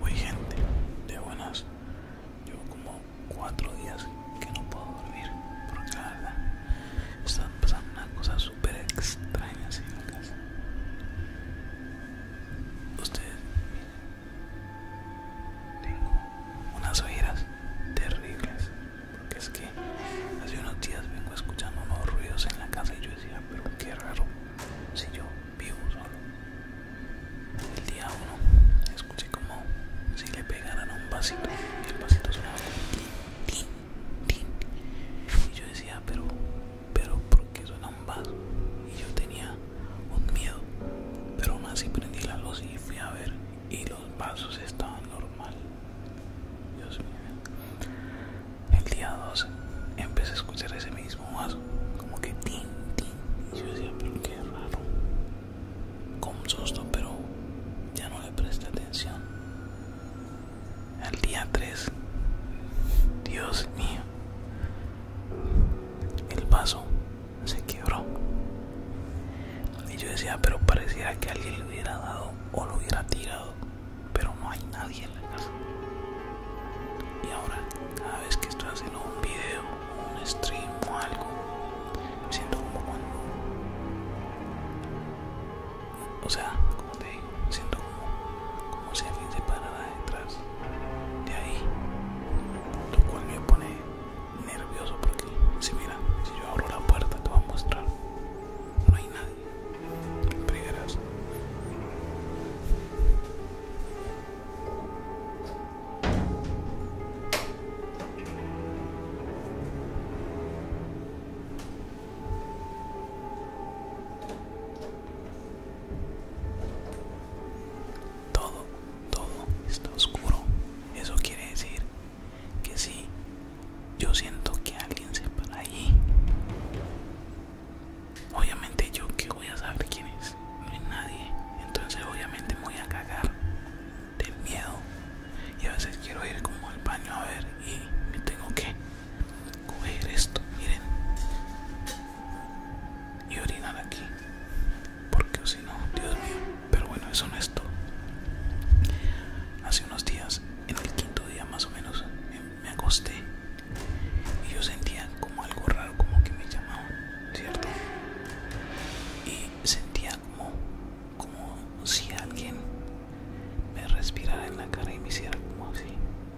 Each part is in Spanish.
Uy gente, de buenas. Llevo como cuatro días que no puedo dormir porque la verdad están pasando una cosa súper extrañas en la casa. Ustedes miren, tengo unas ojeras terribles porque es que hace unos días vengo escuchando unos ruidos en la casa y yo decía, pero qué raro si yo vivo solo. El día uno escuché como si le pegaran un vasito y el vasito sonaba como tin, tin, Y yo decía, pero, pero, ¿por qué suena un vaso? Y yo tenía un miedo, pero aún así prendí la luz y fui a ver y los vasos estaban normal. Dios mío. El día dos empecé a escuchar ese mismo vaso, como que tin, tin. Y yo decía, pero qué raro, con susto, pero ya no le presté atención. Al día 3, Dios mío, el vaso se quebró. Y yo decía, pero parecía que alguien le hubiera dado o lo hubiera tirado, pero no hay nadie en la casa. Y ahora, cada vez que estoy haciendo un video, un stream o algo, me siento como cuando. O sea, como te digo, siento como, si alguien se parara detrás de ahí, lo cual me pone nervioso porque si mira, si yo abro la puerta te voy a mostrar, no hay nadie, todo, todo está oscuro. Eso quiere decir que sí, yo siento que alguien se para allí. Obviamente yo que voy a saber quién es, no hay nadie, entonces obviamente me voy a cagar del miedo y a veces quiero ir como al baño a ver y me tengo que coger esto, miren, y orinar aquí, porque si no, Dios mío, pero bueno, eso no es todo. Hace unos días, en el quinto día más o menos, em, me acosté y yo sentía como algo raro como que me llamaban cierto y sentía como como si alguien me respirara en la cara y me hiciera como así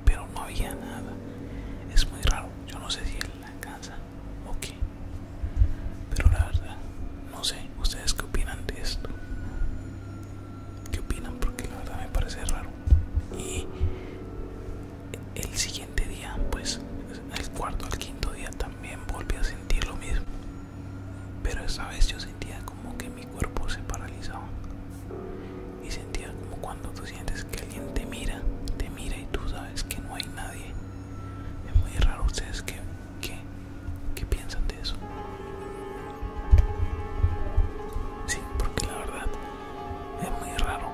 pero no había nada es muy raro yo no sé si en la casa o qué pero la verdad no sé ustedes qué opinan de esto qué opinan porque la verdad me parece raro y el siguiente día, pues el cuarto al quinto día también volví a sentir lo mismo. Pero esa vez yo sentía como que mi cuerpo se paralizaba. Y sentía como cuando tú sientes que alguien te mira, te mira y tú sabes que no hay nadie. Es muy raro ustedes que, que piensan de eso. Sí, porque la verdad es muy raro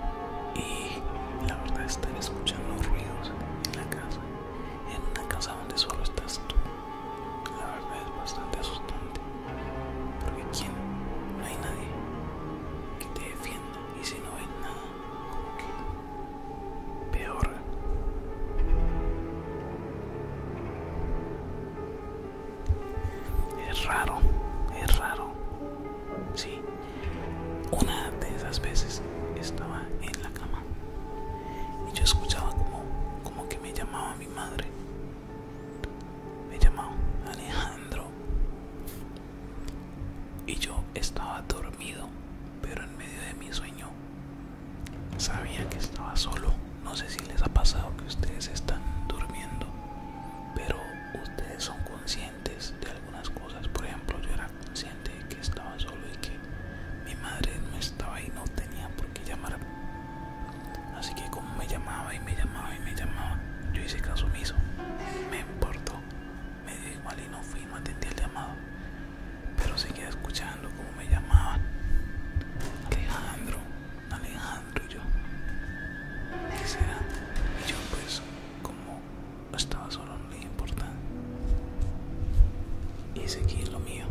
y la verdad estar escuchando ruidos en la casa en una casa donde solo estás tú la verdad es bastante asustante porque quién no hay nadie que te defienda y si no hay nada peor es raro es raro sí una de esas veces estaba en la cama y yo escuchaba como, como que me llamaba mi madre. Me llamaba Alejandro. Y yo estaba dormido, pero en medio de mi sueño sabía que estaba solo. No sé si les ha pasado que ustedes están durmiendo, pero ustedes son conscientes de algunas cosas. Por ejemplo, yo era consciente de que estaba solo y que mi madre no estaba y no tenía por qué llamar. Así que como me llamaba y me llamaba y me llamaba, yo hice caso omiso. Me importó, me dio igual y no fui, no atendí el llamado. Pero seguía escuchando como me llamaban. Alejandro, Alejandro y yo. Y yo pues como estaba solo, no le importa. Y seguí lo mío.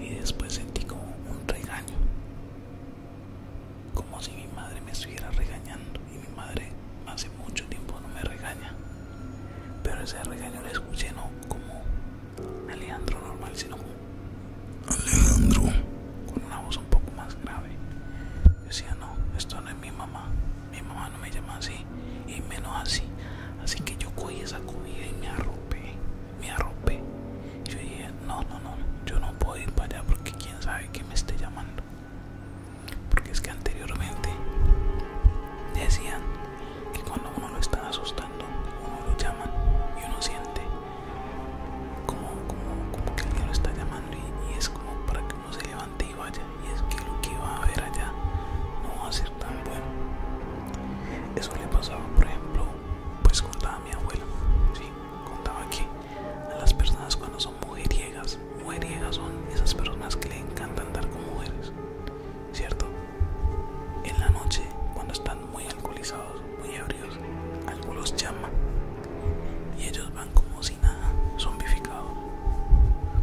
Y después sentí como un regaño. Como si mi madre me estuviera regañando. Y mi madre hace mucho tiempo no me regaña. Pero ese regaño lo escuché no como Alejandro normal, sino como Alejandro. Con una voz un poco más grave decía, no, esto no es mi mamá, mi mamá no me llama así, y menos así. Así que yo cogí esa comida y me arropé, me arropé. Yo dije, no, no, no, yo no puedo ir para allá porque quién sabe que me esté llamando. Porque es que anteriormente decían que cuando uno lo está asustando, uno lo llama y uno siente como, como, como que alguien lo está llamando y, y es como para que no se levante y vaya y es que lo que va a haber allá no va a ser tan bueno eso le pasaba por ejemplo pues contaba mi abuela contaba que a las personas cuando son mujeriegas mujeriegas son esas personas que le encanta andar con mujeres cierto en la noche cuando están muy alcoholizados muy ebrios los llama y ellos van como si nada, zombificados,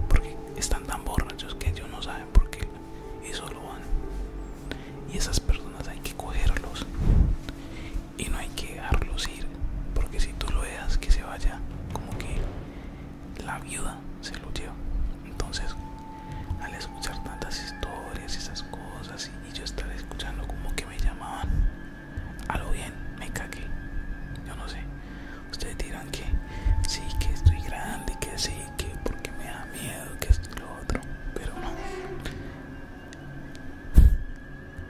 porque están tan borrachos que ellos no saben por qué y lo van. Y esas personas hay que cogerlos y no hay que dejarlos ir, porque si tú lo dejas que se vaya, como que la viuda se lo lleva. Entonces, al escuchar tantas historias y esas cosas, y yo estar escuchando como que me llamaban algo bien, me cagué. Yo no sé. Ustedes dirán que sí, que estoy grande, que sí, que porque me da miedo, que esto y lo otro. Pero no.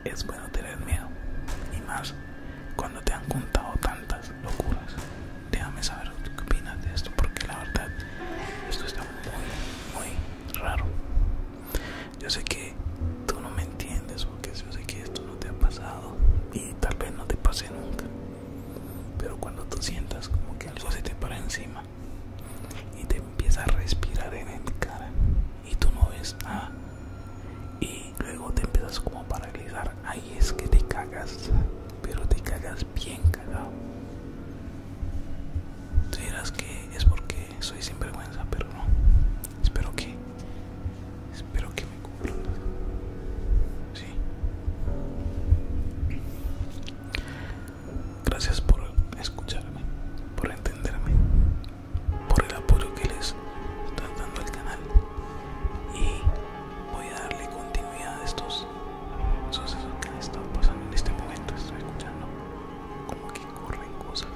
Es bueno tener miedo. Y más cuando te han contado tantas locuras. Déjame saber qué opinas de esto porque la verdad esto está muy, muy raro. Yo sé que tú no me entiendes porque yo sé que esto no te ha pasado y tal vez no te pase nunca. Pero cuando tú sientas como que algo se te para encima y te empieza a respirar en el cara y tú no ves nada y luego te empiezas como a paralizar, ahí es que te cagas, pero te cagas bien cagado. dirás que es porque soy sinvergüenza, pero no. Espero que Espero que me comprendas. Sí. Gracias por escucharme, por entenderme, por el apoyo que les Están dando al canal. Y voy a darle continuidad a estos sucesos que están pasando en este momento. Estoy escuchando como que corren cosas.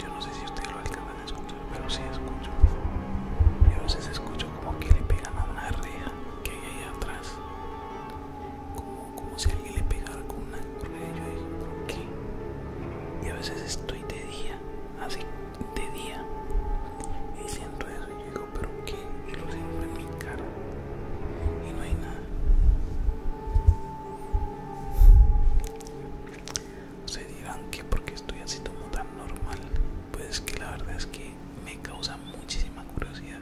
Yo no sé si ustedes lo alcanzan a escuchar, pero sí escucho. Y a veces escucho como que le pegan a una reja que hay ahí atrás. Como, como si alguien le pegara con una y Yo digo, qué? Y a veces estoy de día, así, de día. Y siento eso y yo digo, ¿pero qué? Y lo siento en mi cara. Y no hay nada se dirán que porque estoy así como tan normal pues que la verdad es que me causa muchísima curiosidad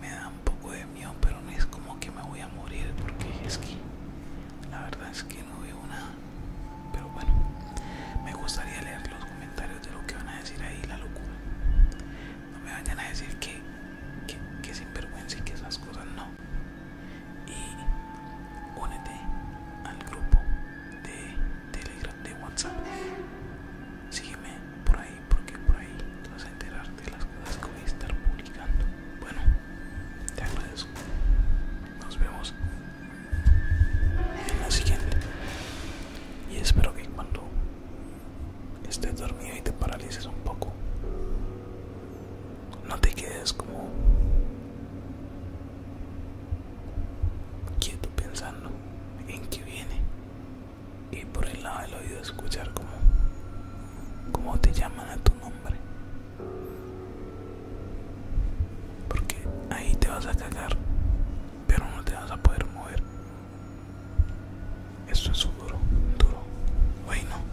me da un poco de miedo pero no es como que me voy a morir porque es que la verdad es que no veo nada pero bueno me gustaría leer los comentarios de lo que van a decir ahí la locura no me vayan a decir que que, que sinvergüenza y que esas cosas no y únete al grupo de Telegram de WhatsApp. Sígueme por ahí porque por ahí vas a enterarte de las cosas que voy a estar publicando. Bueno, te agradezco. Nos vemos en la siguiente. Y espero que cuando estés dormido y te paralices un poco, no te quedes como quieto pensando en qué viene y por el lado del oído escuchar como, como te llaman a tu nombre porque ahí te vas a cagar pero no te vas a poder mover esto es duro duro bueno